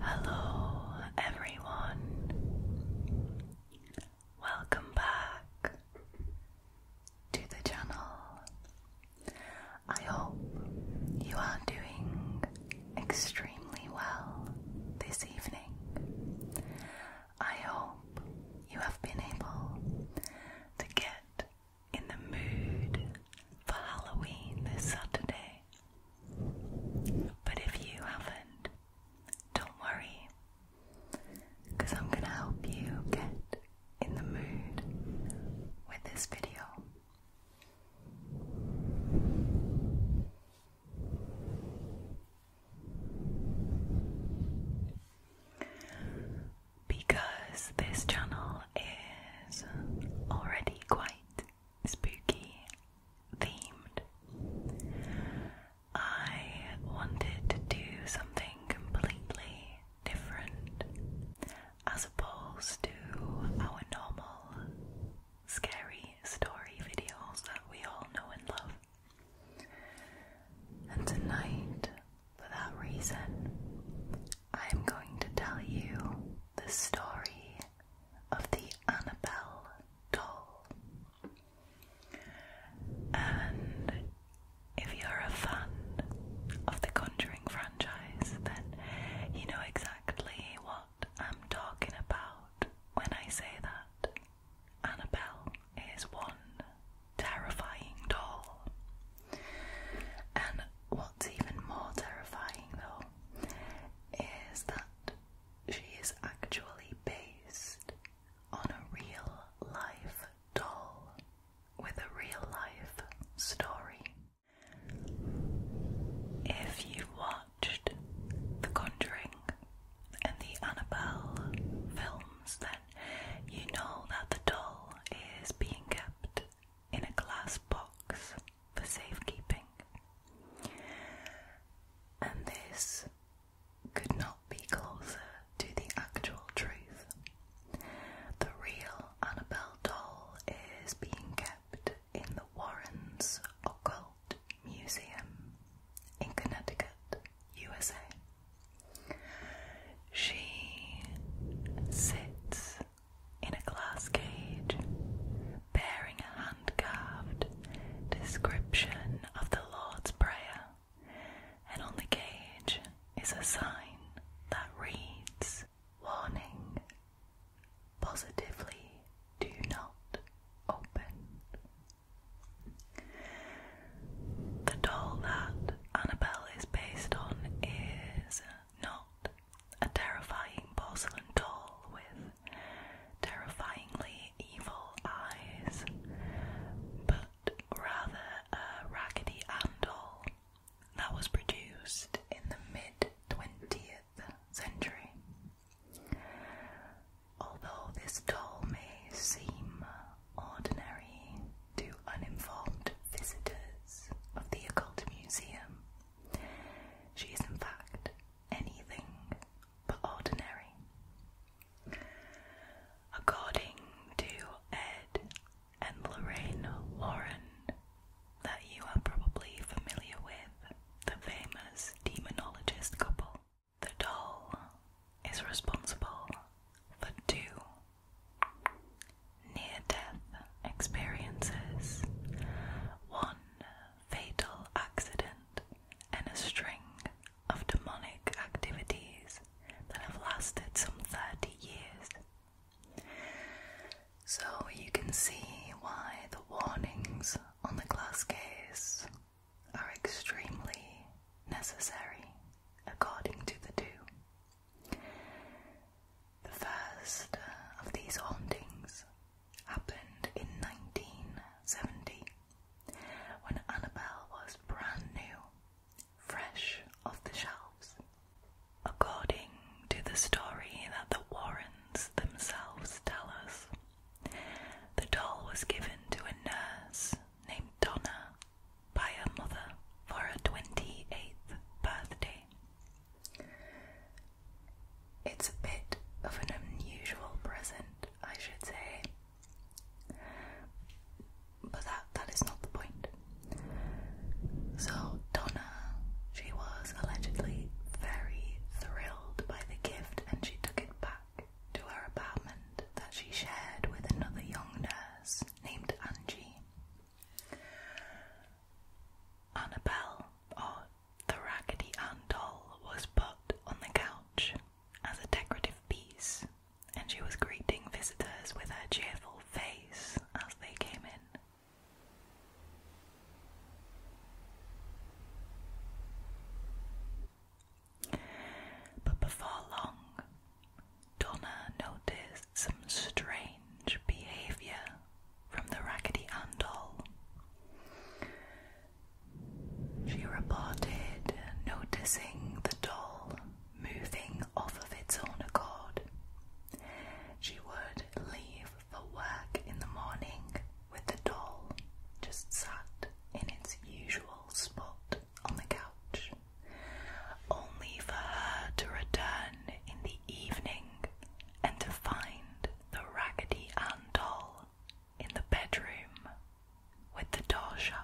Hello, everyone. Welcome back to the channel. I hope you are doing extremely well this evening. I hope you have been able to get in the mood for Halloween this Saturday. But if you haven't, don't worry, because I'm going to help you get in the mood with this video. Because this channel is already quite spooky themed, I wanted to do something completely different as opposed to our normal scary story videos that we all know and love. And tonight, for that reason, I am going to tell you the story of the Annabelle doll. And if you're a fan of the Conjuring franchise, then you know exactly what I'm talking about when I say that Annabelle is one terrifying doll. And what's even more terrifying, though, is that she is actually based on a real life doll with a real life story. If you watched The Conjuring and the Annabelle films, then you know that the doll is being kept in a glass box for safekeeping. And this could not be closer to the actual truth. The real Annabelle doll is being kept in the Warrens Occult Museum in Connecticut, USA. She sits in a glass cage bearing a hand carved description of the Lord's Prayer and on the cage is a sign that reads Warning Positively do not open. The doll that Annabelle is based on is not a terrifying porcelain doll with terrifyingly evil eyes, but rather a uh, Raggedy Ann that was produced in the mid 20th century. Although this doll may seem ordinary to uninformed visitors of the Occult Museum, she is in fact anything but ordinary. According to Ed and Lorraine Warren, that you are probably familiar with, the famous demonologist couple, the doll is responsible for two near death experiences one fatal accident and a string of demonic activities that have lasted some 30 years. So you can see why the warnings on the glass case are extremely necessary, according to the two. The first uh, of these hauntings happened in 1970 when Annabelle was brand new, fresh off the shelves. According to the story that the Warrens themselves tell us, the doll was given to a nurse named Donna by her mother for her 28th birthday. It's a bit of an unusual present, I should say, but that that is not the point. So Donna, she was allegedly very thrilled by the gift and she took it back to her apartment that she shared with another young nurse named Angie. Annabelle, or the Raggedy doll, was put on the couch as a decorative piece, and she was greeting visitors with her cheerful face as they came in. But before long, Donna noticed some strange behavior from the Raggedy Ann she reported noticing the doll moving off of its own accord. She would leave for work in the morning with the doll just sat in its usual spot on the couch, only for her to return in the evening and to find the Raggedy Ann doll in the bedroom with the door shut.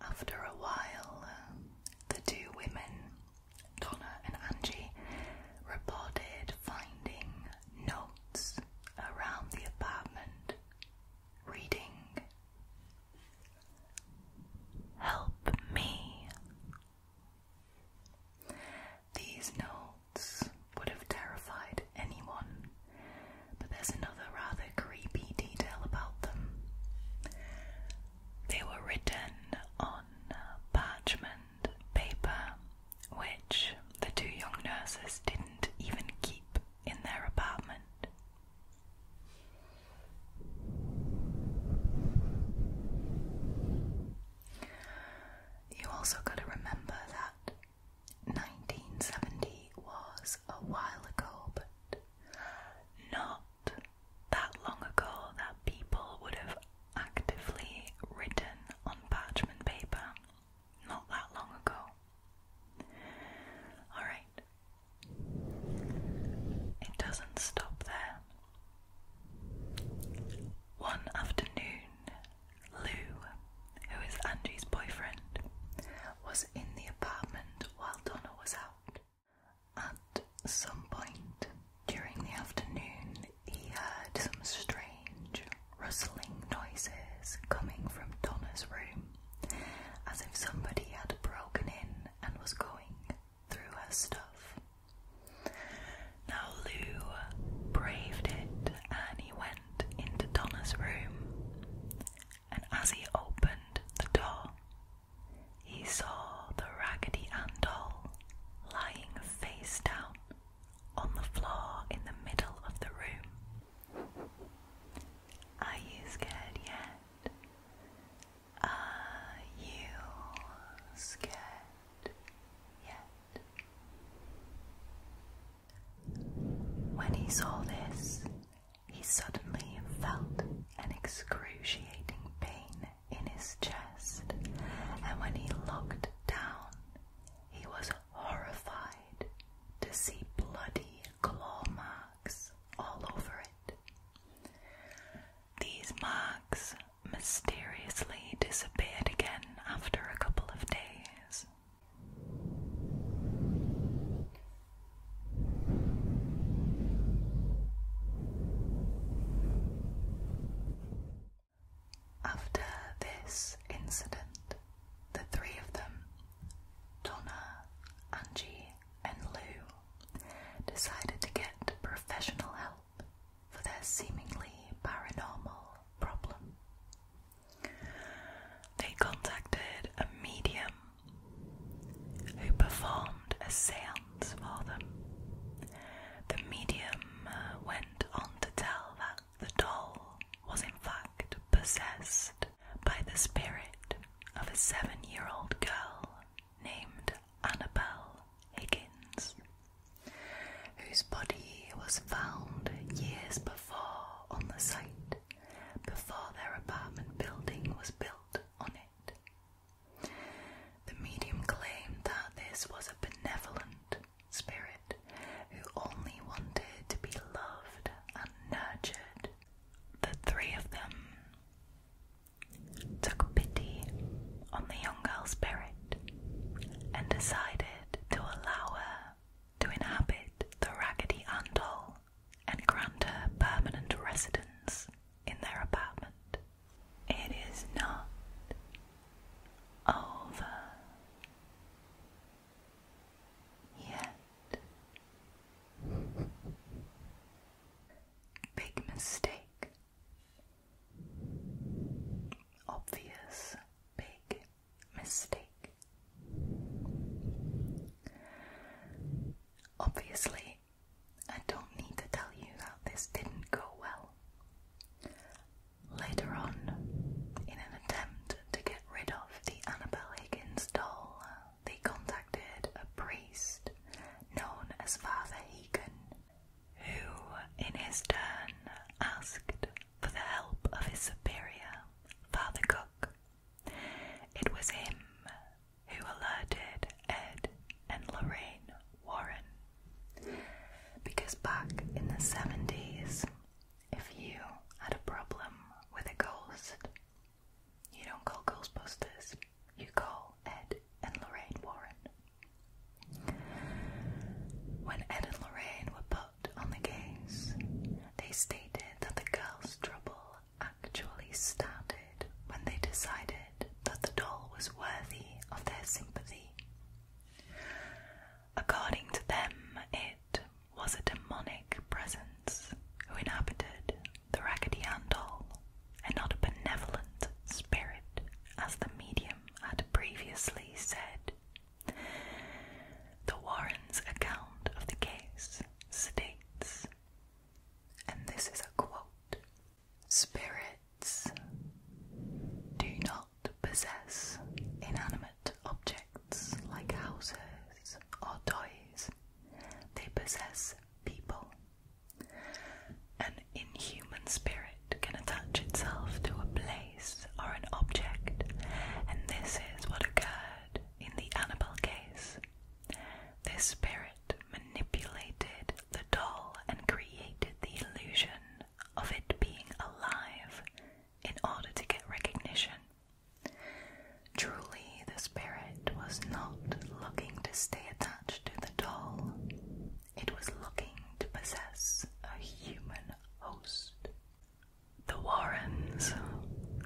After a while, the two women, Donna and Angie, reported finding notes around the apartment, reading, Help me. These notes would have terrified anyone, but there's another rather creepy detail about them. They were written on parchment paper which the two young nurses didn't even keep in their apartment. You also got to remember that 1970 was a while ago, not that long ago that people would have actively written on parchment paper not that long ago. Alright. It doesn't stop there. One afternoon, Lou, who is Angie's boyfriend, was in the apartment while Donna was out. At some point during the afternoon, he heard some strange rustling noises coming from Donna's room, as if somebody had broken in and was going through her stuff. Now Lou braved it and he went into Donna's room, and as he opened the door, he saw the Raggedy Ann doll lying face down on the floor in the middle of the room. Are you scared yet? Are you scared yet? When he saw this, he suddenly felt an excruciating pain in his chest, and when he looked down, he was horrified to see bloody claw marks all over it. These marks mysteriously disappeared again after a couple of days. After this incident, the three of them, Donna, Angie, and Lou, decided to get professional help for their seemingly paranormal problem. They contacted a medium who performed a seance for them. The medium uh, went on to tell that the doll was in fact possessed by the spirit of a seven year old girl named Annabel Higgins, whose body was found years before on the site before their apartment building was built on it. The medium claimed that this was a benevolent spirit who only wanted to be loved and nurtured. The three of them took pity on the young girl spirit and decided to allow her to inhabit the Raggedy Ann and grant her permanent residence in their apartment. It is not over yet. Big mistake. Obvious big mistake. Obviously, I don't need to tell you that this didn't go well. Later on, in an attempt to get rid of the Annabelle Higgins doll, they contacted a priest known as Father Hegan, who in his turn asked for the help of his superior, Father Cook. It was him who alerted Ed and Lorraine Warren because back in the 70s, if you had a problem with a ghost, you don't call Ghostbusters, you call Ed and Lorraine Warren. When Ed and Lorraine were put on the case, they stated that the girl's trouble actually started when they decided that the doll was worthy of their sympathy According to them, it was a demonic presence who inhabited the Raggedy Ann doll and not a benevolent spirit, as the medium had previously said. The Warren's account of the case states, and this is a quote Spirits do not not possess inanimate objects like houses or toys, they possess people. An inhuman spirit can attach itself to a place or an object, and this is what occurred in the Annabelle case. This spirit manipulated the doll and created the illusion of it being alive in order to get recognition. Truly, the spirit was not looking to stay attached to the doll, it was looking to possess a human host. The Warrens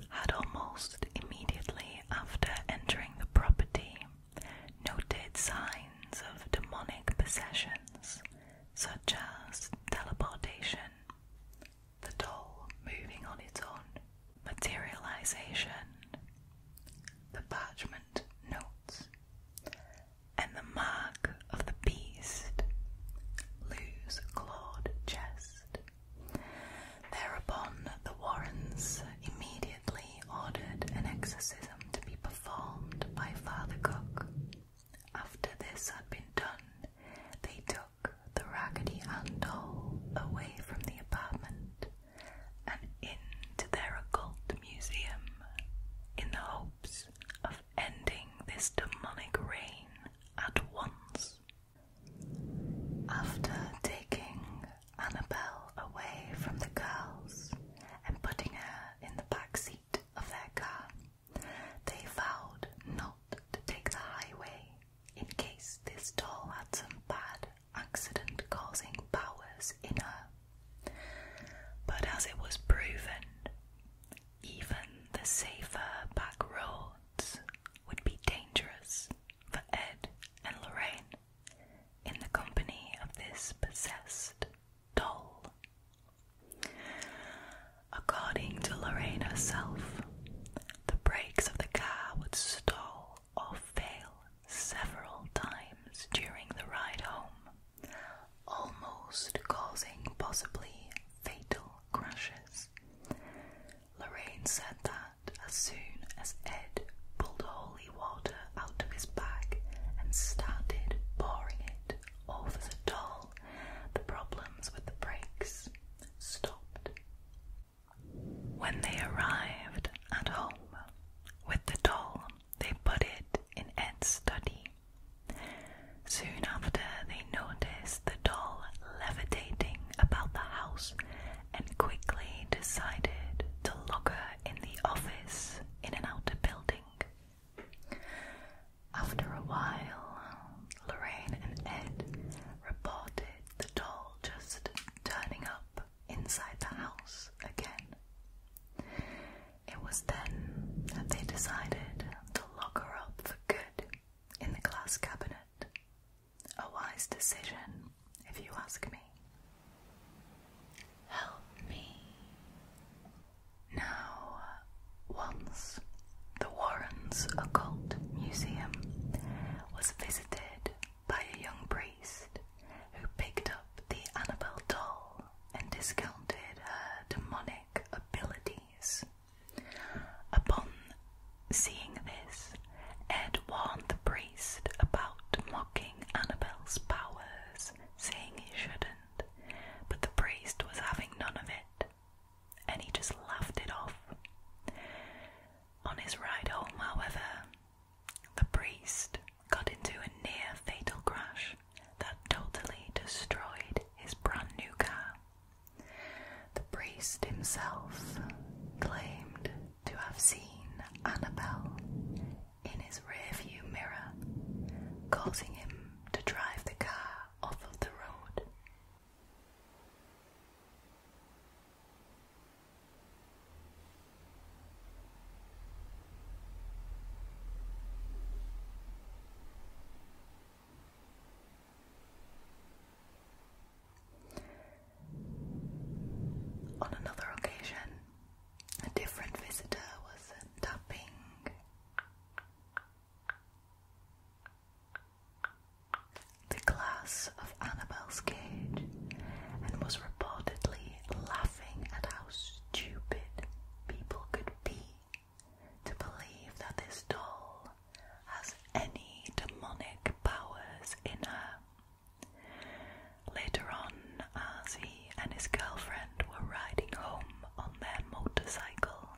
had almost immediately after entering the property noted signs of demonic possessions such as teleportation, the doll moving on its own, materialization, the parchment notes, and the mark of the beast, loose clawed chest. Thereupon the Warrens immediately ordered an exorcism to be performed by Father Cook. After this had been done, they took the Raggedy Ann doll away from the apartment and into their occult museum in the hopes of ending this demonic reign at once. After taking Annabelle away from the girls and putting her in the back seat of their car. They vowed not to take the highway in case this doll had some bad accident causing powers in her. But as it was proven, even the safer back roads would be dangerous for Ed and Lorraine in the company of this possessed doll. According to Lorraine herself, the brakes of the car would stall or fail several times during the ride home, almost causing possibly fatal crashes. Lorraine said that as soon as Ed pulled a water out of his bag and started pouring it over the doll. The problems with the brakes stopped. When they arrived at home with the doll, they put it in Ed's study. Soon after, they noticed the doll levitating about the house and quickly decided to lock her in the office in an outer building. After a while, Lorraine and Ed reported the doll just turning up inside the house again. It was then that they decided to lock her up for good in the glass cabinet. A wise decision, if you ask me. Help me. Now, once the Warren's Occult Museum was visited by a young priest who picked up the Annabelle doll and discounted her demonic abilities. Upon seeing this, Ed warned the priest about mocking Annabelle's powers saying he shouldn't, but the priest was having none of it, and he just laughed it off. On his ride home, however, the priest got into a near fatal crash that totally destroyed his brand new car. The priest himself claimed to have seen Annabelle in his rearview mirror, causing him to drive the car off of the road. On another occasion, a different visitor was tapping the glass of Annabelle's cage and was reportedly laughing at how stupid people could be to believe that this doll has any demonic powers in her. Later on, as he and his girlfriend were riding home on their motorcycle,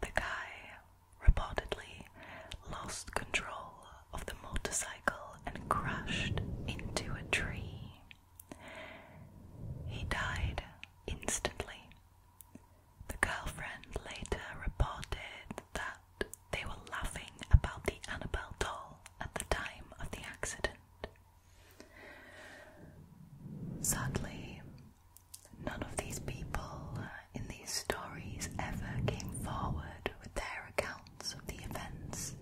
the guy reportedly lost control of the motorcycle and crashed into a tree. He died instantly. The girlfriend later reported that they were laughing about the Annabelle doll at the time of the accident. Sadly, none of these people in these stories ever came forward with their accounts of the events.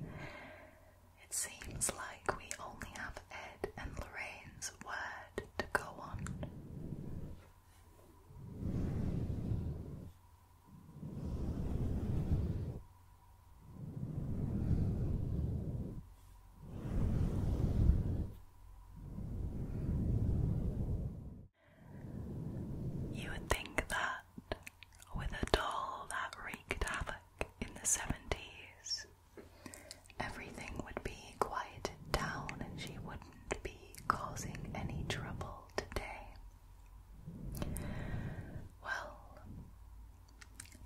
It seems like we only have Ed and Lorraine's word to go on. You would think that with a doll that wreaked havoc in the 70s, everything would be quieted down and she wouldn't be causing any trouble today. Well,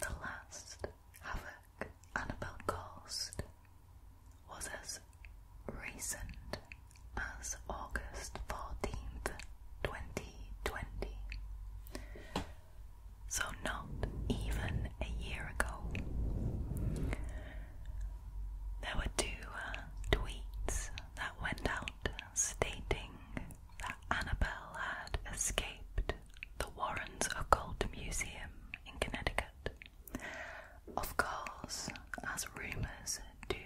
the last havoc Annabelle caused was as recent as August 14th, 2020. So, not even a year ago. There were two uh, tweets that went out stating that Annabelle had escaped the Warrens Occult Museum in Connecticut. Of course, as rumours do,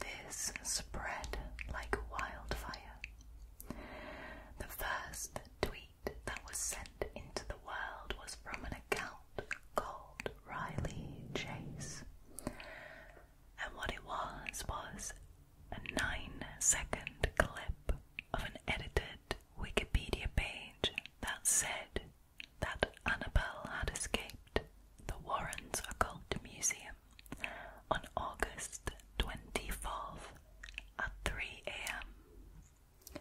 this spread like wildfire. The first tweet that was sent into the world was from an account called Riley Chase, and what it was was a nine second clip of an edited Wikipedia page that said that Annabelle had escaped the Warrens Occult Museum on August 24th at 3 am.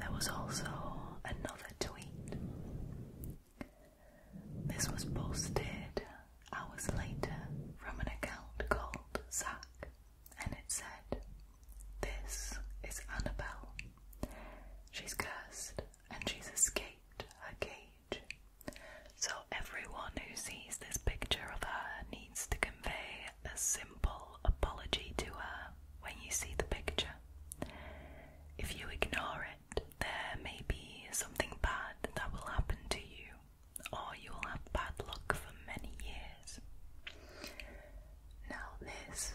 There was also another tweet this was posted hours later from an account called Zach, and it said, This is Annabelle. She's cursed and she's escaped her cage. So everyone who sees this picture of her needs to convey a simple apology to her when you see the picture. If you ignore it." there may be something bad that will happen to you, or you will have bad luck for many years. Now, this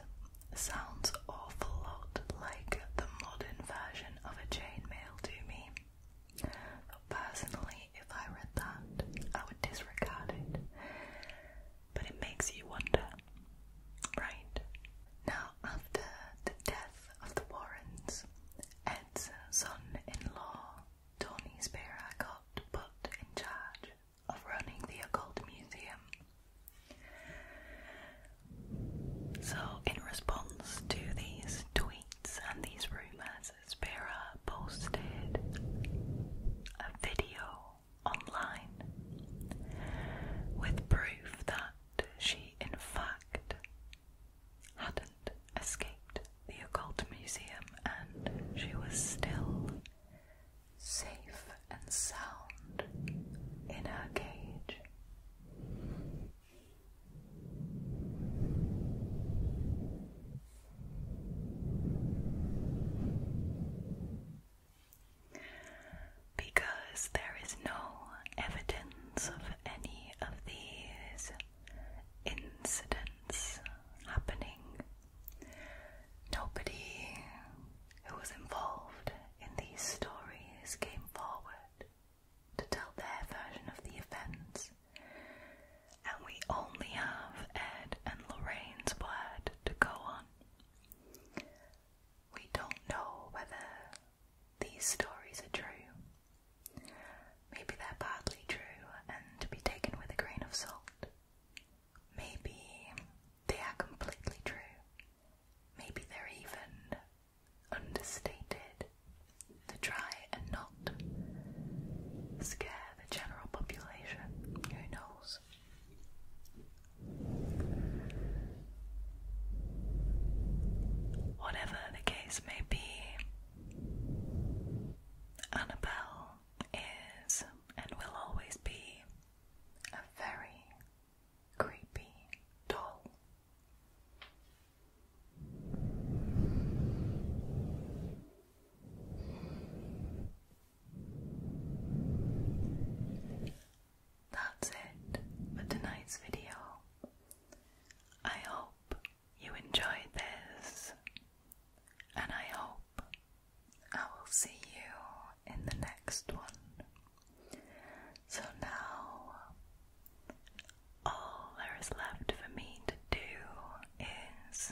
sounds awful lot like the modern version of a chainmail to me, but personally, if I read that, I would disregard it. But it makes you wonder, right? Now, after the death of the Warrens, Ed's son-in-law, Tony Spear got put in charge of running the occult museum. So, in response to these tweets and these rumours, Spira posted a video online with proof that she, in fact, hadn't escaped the occult museum and she was still safe and sound in her cage because there is no evidence of any of these incidents happening. Nobody who was involved in these stories came forward to tell their version of the events, and we only have Ed and Lorraine's word to go on. We don't know whether these stories are true. Maybe they're partly true and to be taken with a grain of salt. Maybe they are completely true. Maybe they're even understated to try and not scare the general population. Who knows? Whatever the case may be, Annabelle is and will always be a very creepy doll. That's it for tonight's video. I hope you enjoyed this, and I hope I will see you in the next one. So now, all there is left for me to do is